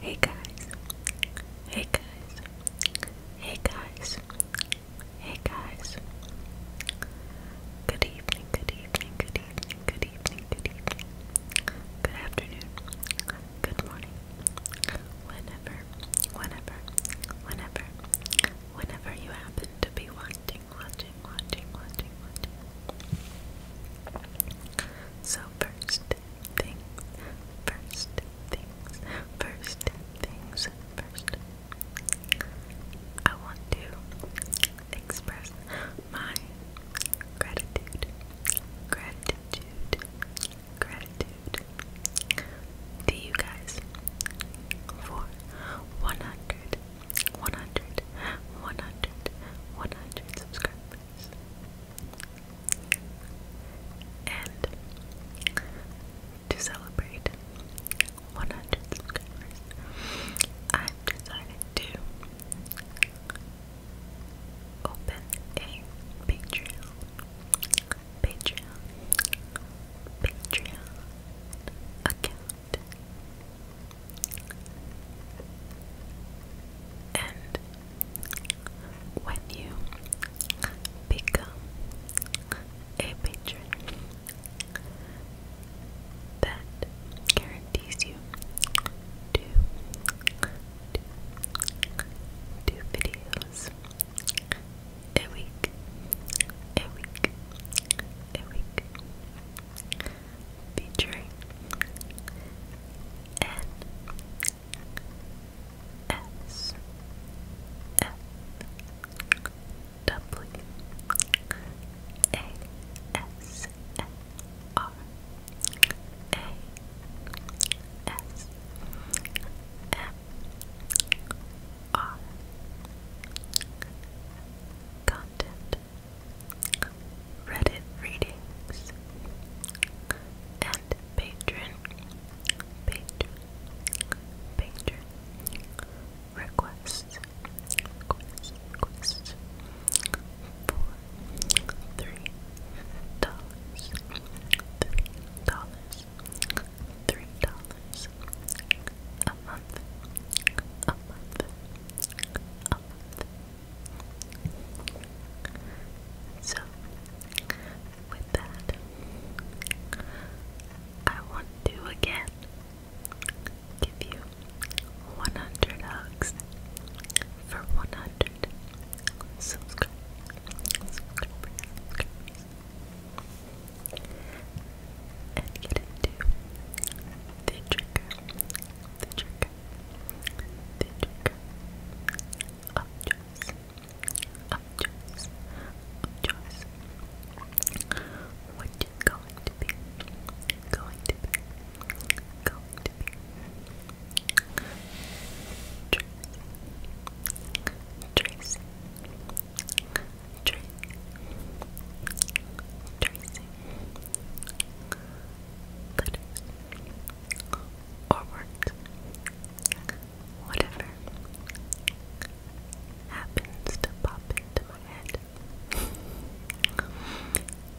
Hey guys, hey guys, hey guys, hey guys. Good evening, good evening, good evening, good evening, good evening. Good afternoon, good morning. Whenever, whenever, whenever, whenever you happen to be watching watching, watching, watching, watching. So first things, first things, first things first. I want to express my gratitude, gratitude, gratitude to you guys for 100 100, subscribers. And to celebrate 100 subscribers, I've decided to open a Patreon. Patreon. Patreon account. And when you become a patron, that guarantees you to do videos a week, a week, featuring N S F W A S N R A S M R Content Reddit readings, and patron, patron, patron requests, requests, requests for three dollars, three dollars, three dollars a month, a month, a month. A month, so, with that, I want to again give you 100 hugs for 100 subscribers. And get into the trigger, the trigger, trigger, you going to be, going to be, going to be trace, trace, trace, tracing, letters, or words, whatever happens to pop into my head.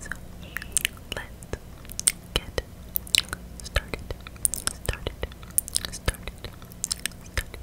so let's get started, started, started, started with the alphabet.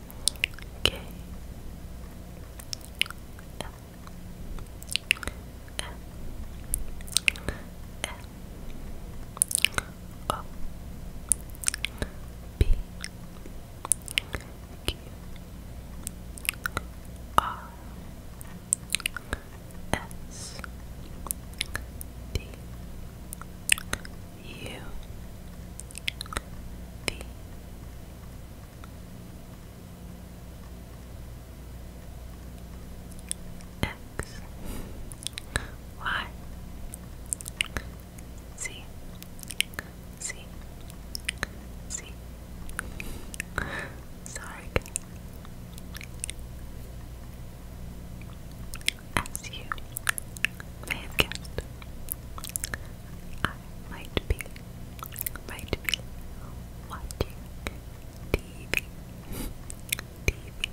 K L M N O P Q R S D U V X Y C C C Sorry as you may have guessed I might be, might be watching TV, TV, TV,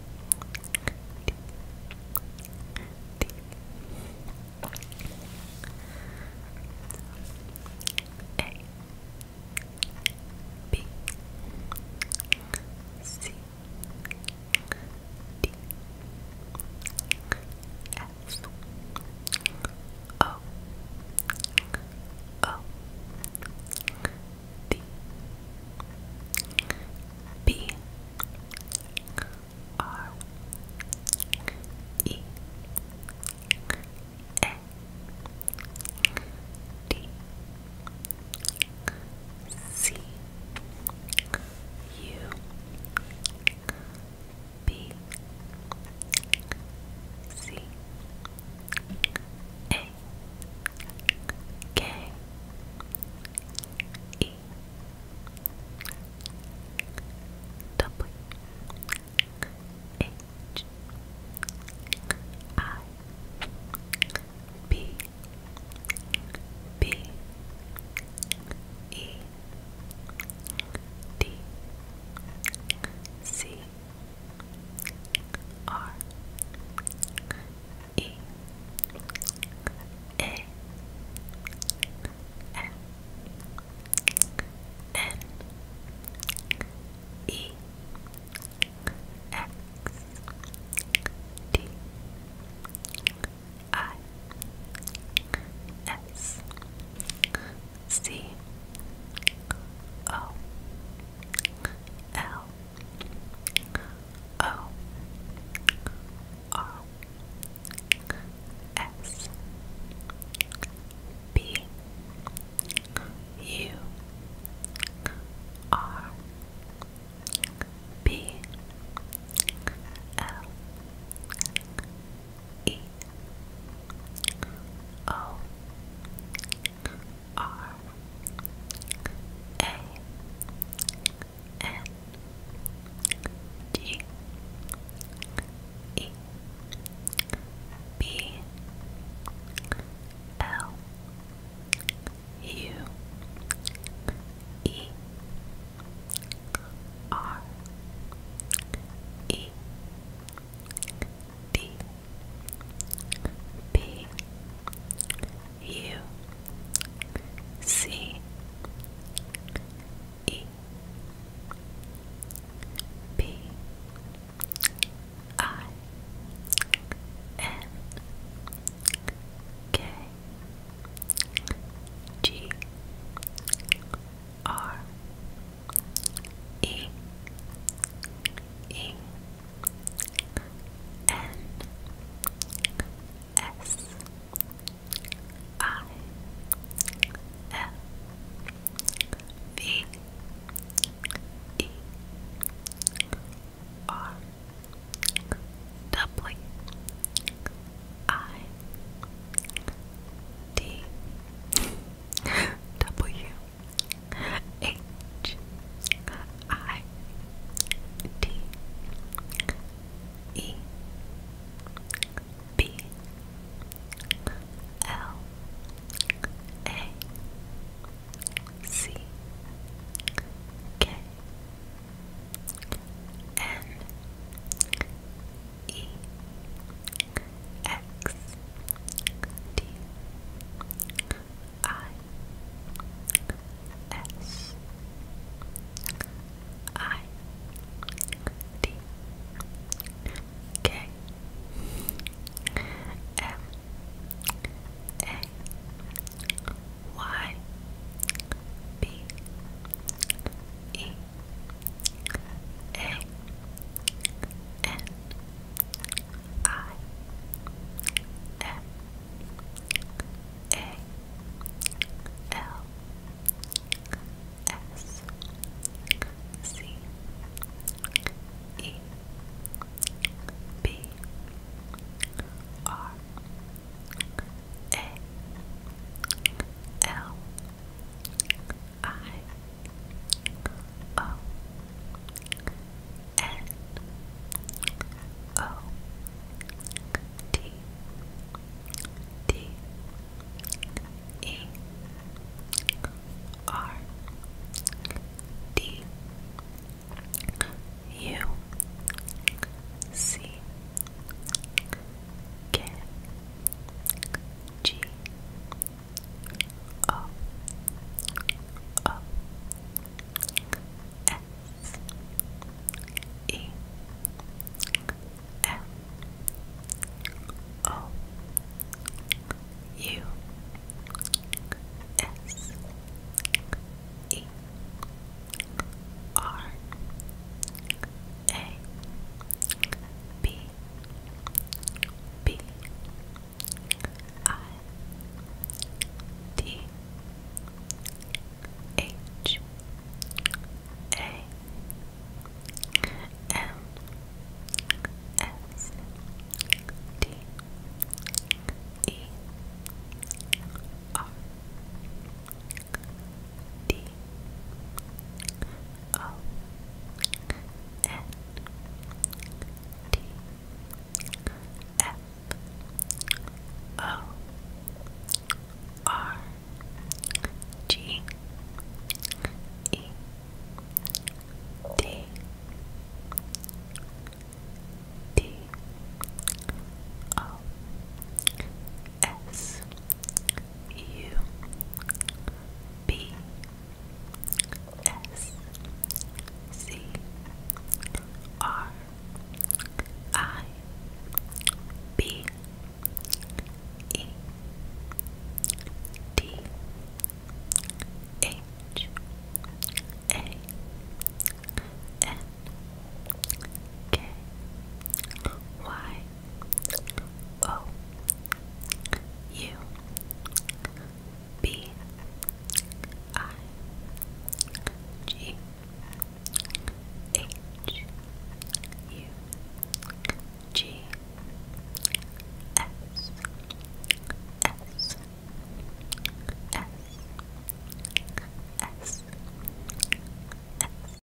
D S O O D B R E A D C U B C A K E W H I B B E D C R E A N N E X D I S C O L O R S B U R B L E O R A N G E B L U E R E D P U C E P I N K G R E E N S I L V E R W I D W H I D E B L A C K N E X D I S I D K M A Y B E a N I M A L S C E B R a L I O N O D D E R D U C K G O O S E M O U S E R a B B I D H A M S D E R D O N T F O R G E D D O S U B S C R I B E D H A N K Y O U B I G H U G S S S S S